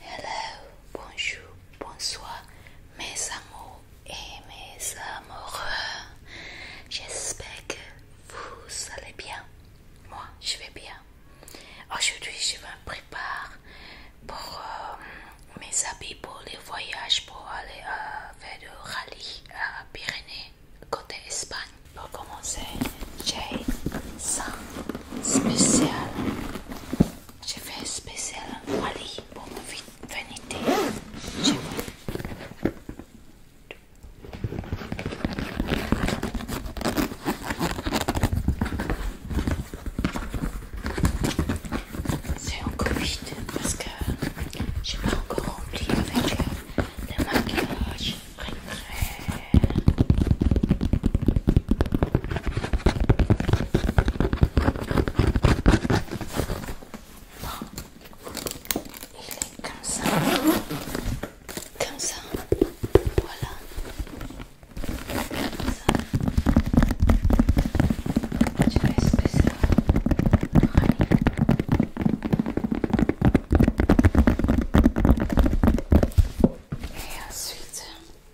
Hello, bonjour, bonsoir mes amours et mes amoureux. J'espère que vous allez bien. Moi, je vais bien. Aujourd'hui, je me prépare pour euh, mes habits pour les voyages pour aller euh, faire du rallye à Pyrénées, côté Espagne. Pour commencer, j'ai ça spécial j'ai fait un spécial rallye pour ma vanité. C'est encore vite parce que j'ai pas encore rempli avec euh, le maquillage. Bon. Il est comme ça. Comme ça. Voilà. Comme ça. Tu fais ce que ça. Et ensuite,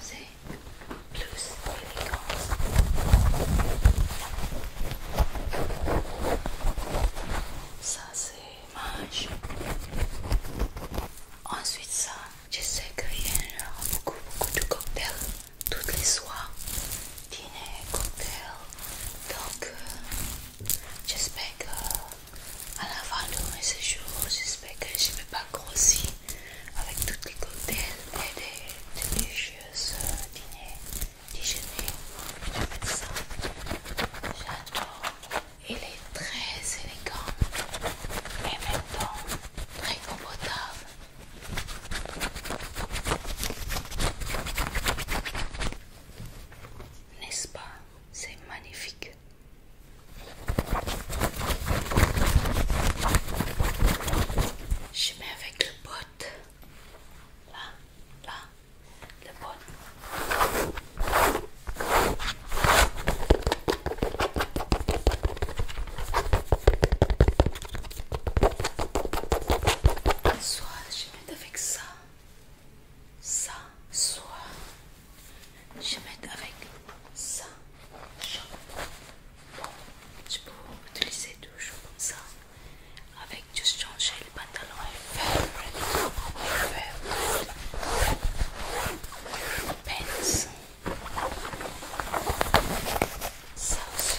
C'est plus élégant. Ça c'est mage. Ensuite ça, je sais qu'il y a beaucoup beaucoup de cocktails toutes les soirs. Dîner, cocktail. Donc euh, j'espère que à la fin de mes séjours, j'espère que je ne vais pas grossir avec toutes les cocktails et des délicieuses euh, dîners, déjeuners. J'aime ça. J'adore. Il est très élégant et en même temps très confortable. N'est-ce pas C'est magnifique. Je mets avec le pot. Là, là, le pot. Soit je mets avec ça, ça, soit je vais mettre avec ça. je peux utiliser toujours comme ça. Avec juste changer le pantalon et faire pince. Ça aussi.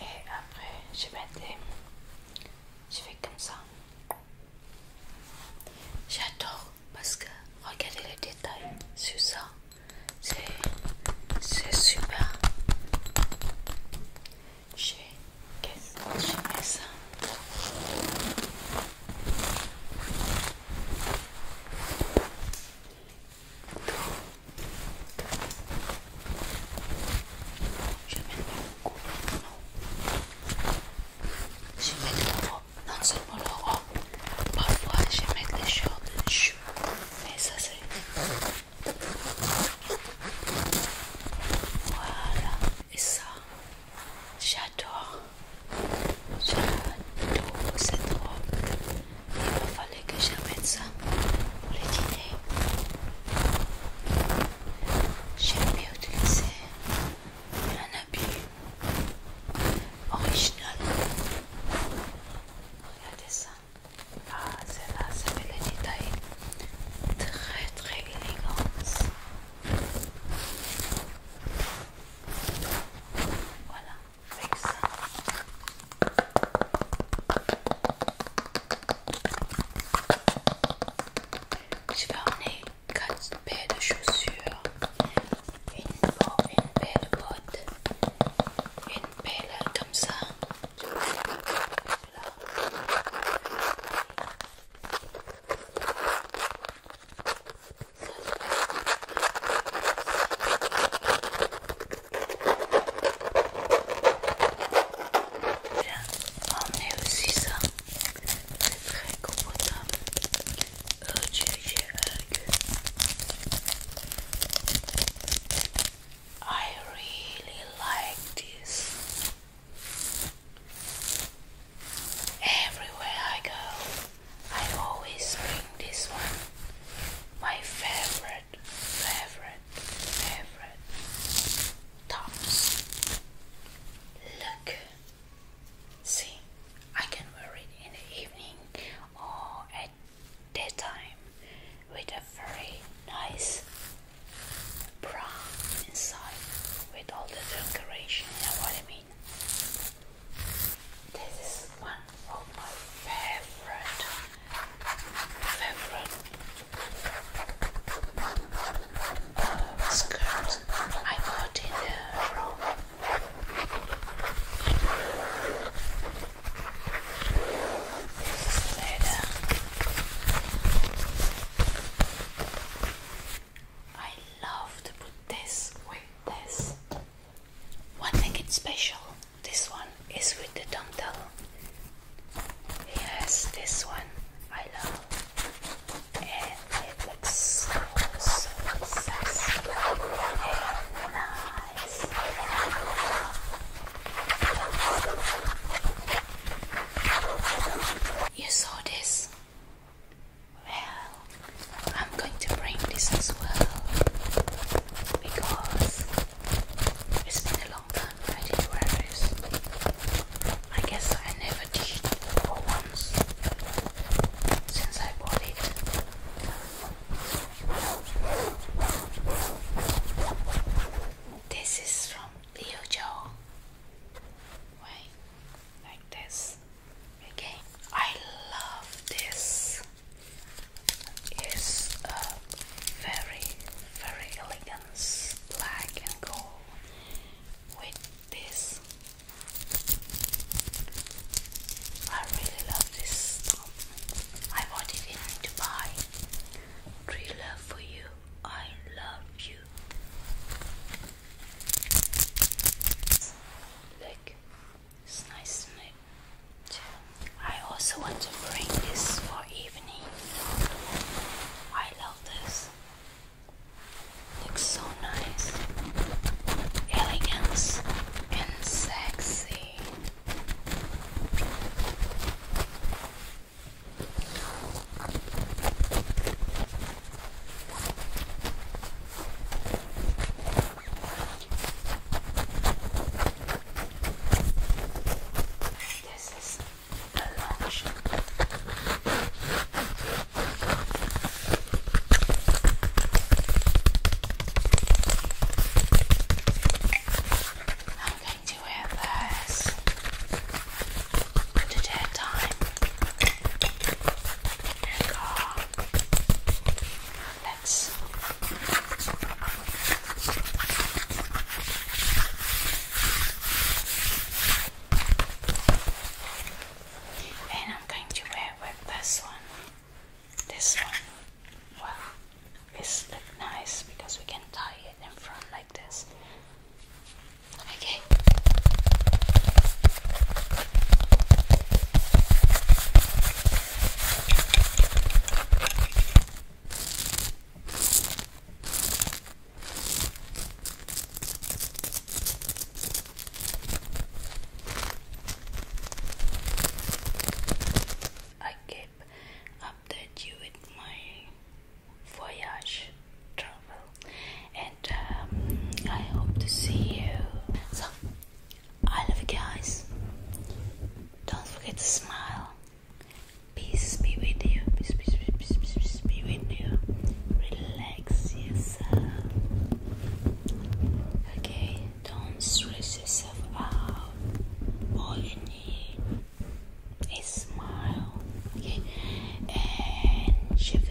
et après je vais mettre. je fais comme ça j'adore parce que regardez les détails sur ça c'est super J'ai, je mets ça je beaucoup. non, mets trop, non seulement le robe, parfois j'aime les des shorts, de cheveux, mais ça c'est... Voilà, et ça, j'adore, j'adore cette robe. Il fallait que j'amène ça pour le dîner. J'aime bien utiliser un habit original. Regardez ça. Ah, c'est là ça fait le détail. Très, très élégant. Voilà, avec ça. Je vais ramener quatre paires de chaussures, une, une paire de bottes, une paire comme ça. Eh, I really like this. Everywhere I go, I always bring this one. My favorite, favorite favorite tops. Look, see, I can wear it in the evening or at daytime with a very nice bra inside with all the decoration, you know what I mean? This is one of my favorite, favorite skirt I got in Rome. This is leather. I love to put this with this. What makes it's special this one is with the dental. Yes, this one I love. it looks so sexy and nice. You saw this? Well, I'm going to bring this as well because it's been a long time I did not wear this. I guess I never did for once since I bought it. This is from Liu Joe. Wait, like this. Okay, I love this is a very, very elegant black and gold with this. I really love this stop. I bought it in Dubai. True love for you. I love you. Look, it's nice isn't I also want to bring this for evening. I love this. Looks so nice. elegant and sexy. This is the lunch. I'm going to wear this to dead time and go let's and I'm going to wear with this one. This one, well, this look nice because we can tie it in front like this. Okay. I keep update you with my voyage travel and um, I hope to see you so I love you guys. Don't forget to smile. Peace be with you. Peace, peace, peace, peace, peace, peace be with you. Relax yourself. Okay, don't stress yourself out. All you need is smile. Okay, and shift